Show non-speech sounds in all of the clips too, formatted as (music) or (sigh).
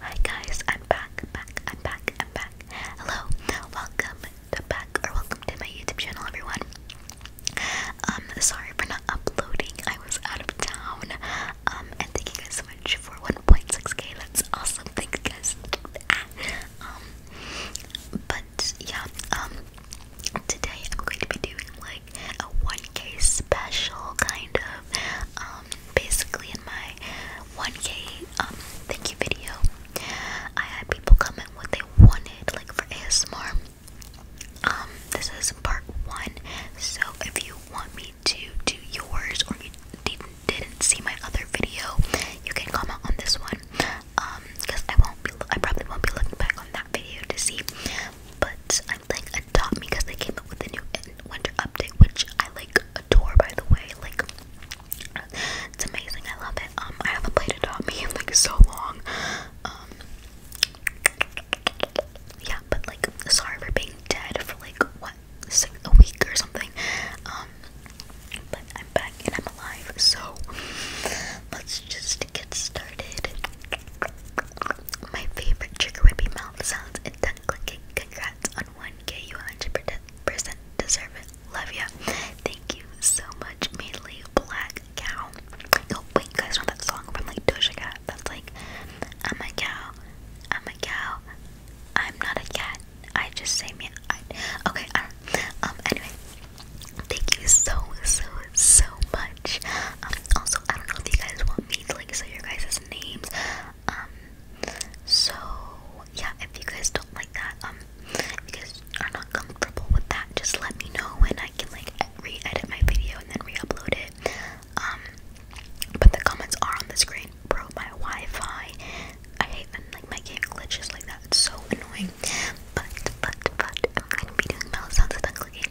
Hi guys, I'm back, back, I'm back, I'm back. Hello, welcome back or welcome to my YouTube channel, everyone. Um, sorry for not uploading. I was out of town. Um, and thank you guys so much for 1.6k. That's awesome. Thank you guys. um, but yeah, um, today I'm going to be doing like a 1k special kind of um, basically in my 1k um, thank you video I had people comment what they wanted like for ASMR um, this is part one so if you want me to do yours or you didn't see my other video you can comment on this one um because I won't be I probably won't be looking back on that video to see but I'm like adopt me because they came up with a new winter update, which I like adore by the way. Like it's amazing. I love it. Um, I haven't played adopt me like so long. Um, yeah, but like sorry for being dead for like what six, a week or something. Um, but I'm back and I'm alive. So let's just get started. My favorite trigger would be mouth sounds and tongue clicking. Congrats on 1K, you 100% deserve it. Love ya. Thank you so much, mainly Black Cow. Oh, wait, you guys know that song from like Doja Cat? That's like, I'm a cow, I'm a cow, I'm not a cat. I just say me. okay, Um, anyway, thank you so, so, so much. Um, also, I don't know if you guys want me to like say your guys' names. Um so yeah, if you guys don't like that, um if you guys are not comfortable with that, just let me know and I can like re-edit my video and then re-upload it. Um but the comments are on the screen. Bro, my Wi-Fi. I hate when like my game glitches like that. It's so annoying. But but but I'm gonna be doing mouse sounds about clicking.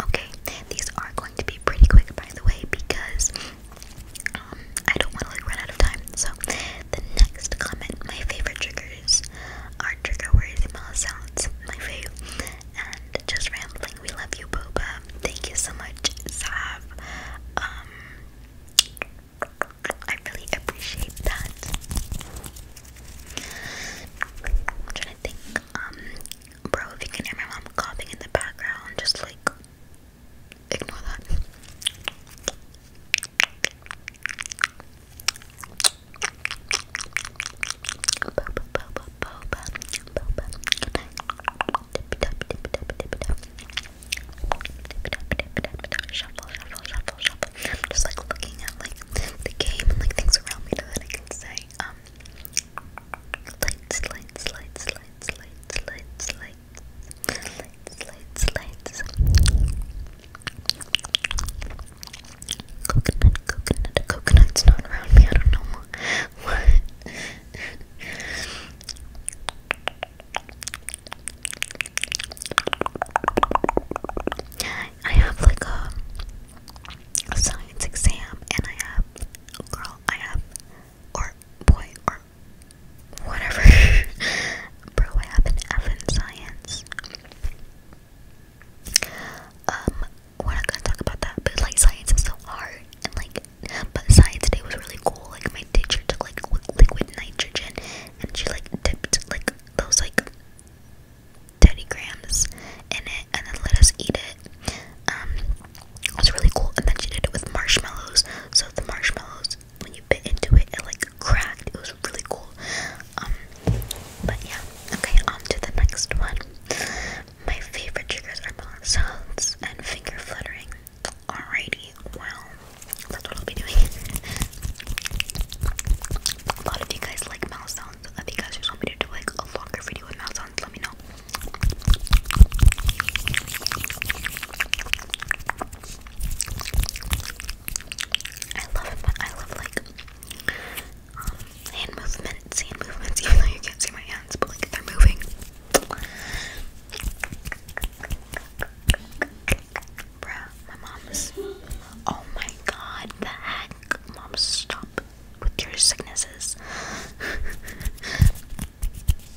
Okay, these are going to be pretty quick, by the way, because um, I don't want to like run out of time. So the next comment, my favorite triggers are trigger words, mouth sounds, my fave, and just rambling. We love you, Boba. Thank you so much, Sav. Um, I really appreciate that. trying to think, um, bro, if you can hear my mom coughing in the background, just like ignore that. I'm just like looking at like the game and like things around me so that I can say, um, lights, lights, lights, lights, lights, lights, lights. Lights, lights, lights. Coconut, coconut, coconut's not around me. I don't know what. I have like a, a science exam, and I have girl, I have or boy or or whatever. (laughs) Bro, I have an F in science. Um, we're not gonna talk about that, but like science is so hard, and like, but science day was really cool. Like my teacher took like liquid nitrogen, and she like dipped like those like teddy grams in it, and then let us eat it. Um, was really cool, and then she did it with marshmallows. So the marshmallows when you bit into it, it like cracked. It was really cool. Um, but yeah, okay, on to the next one. My favorite triggers are balance sounds and finger fluttering. Alrighty, well, that's what I'll be doing. a lot of you guys like mouse sounds. If you guys just want me to do like a longer video with mouse sounds, let me know. I love it, but I love like um, hand movements, hand movements, (laughs) even though you can't see my hands, but like they're moving. Bruh, my mom's. Oh my god, the heck? Mom, stop with your sicknesses. (laughs)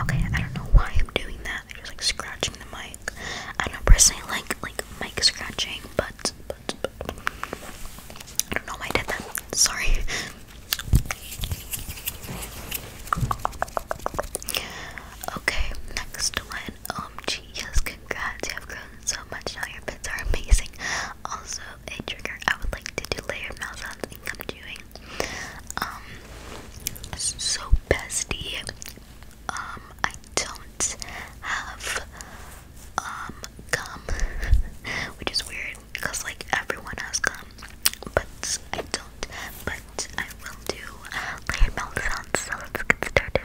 Okay, I don't know why I'm doing that. I'm just like scratching the mic. I don't personally like like mic scratching, but, but, but I don't know why I did that. Sorry. Okay, next one. Um, gee, yes, congrats. You have grown so much now. Your pets are amazing. Also, a trigger I would like to do layer mouth sounds and come doing. Um, so bestie, um, I don't have um gum, (laughs) which is weird because like everyone has gum, but I don't. But I will do layer mouth sounds. So let's get started.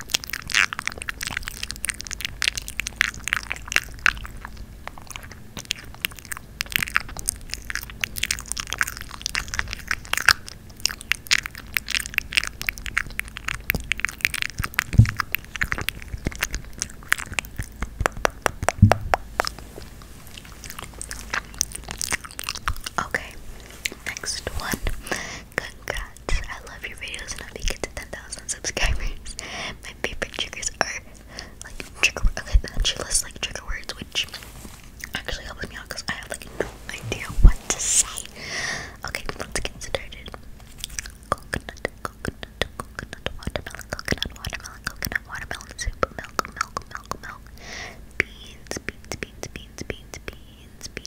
Okay, next one Congrats. I love your videos and I'll be get to 10,000 subscribers. (laughs) My favorite triggers are like trigger okay, that's your list like trigger words, which actually helps me out because I have like no idea what to say. Okay, let's get started. Coconut, coconut, coconut, watermelon, coconut, watermelon, coconut, watermelon soup, milk, milk, milk, milk, beans, beans, beans, beans, beans, beans, beans.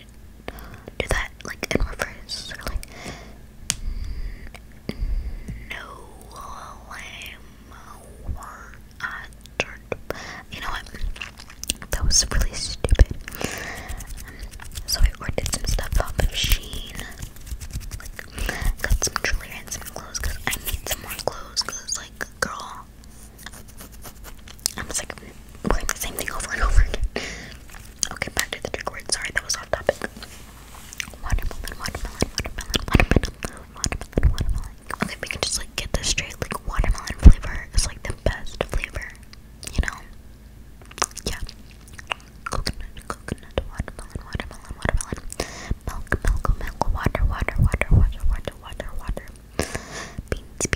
couldn't do that like in reverse. Or, like, no, lame, or, uh, you know what? That was really stupid. Um, so I ordered some stuff off of Sheen. Like, got some jewelry and some clothes because I need some more clothes because, like, girl, I'm just like playing the same thing over and over again. Okay, back to the trigger word. Sorry, that was off topic. Watermelon, watermelon, watermelon, watermelon, watermelon, watermelon. Okay, we can just like get this straight. Like watermelon flavor is like the best flavor, you know? Yeah. Coconut, coconut, watermelon, watermelon, watermelon. Milk, milk, milk, water, water, water, water, water, water, water. Beans,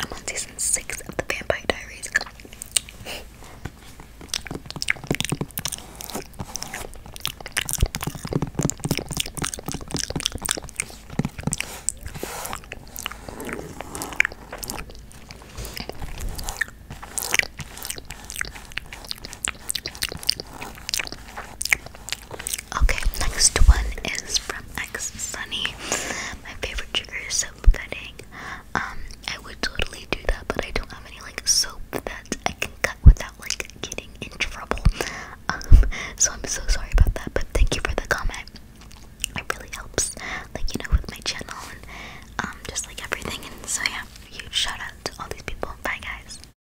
I'm on season six of the Vampire Diaries. Okay, next one is from X Sunny. My favorite trigger is soap cutting. Um, I would totally do that, but I don't have any like soap that I can cut without like getting in trouble. Um, (laughs) so I'm so sorry about that, but thank you for the comment. It really helps, like you know, with my channel and um, just like everything. And so yeah, huge shout out to all these people. Bye guys.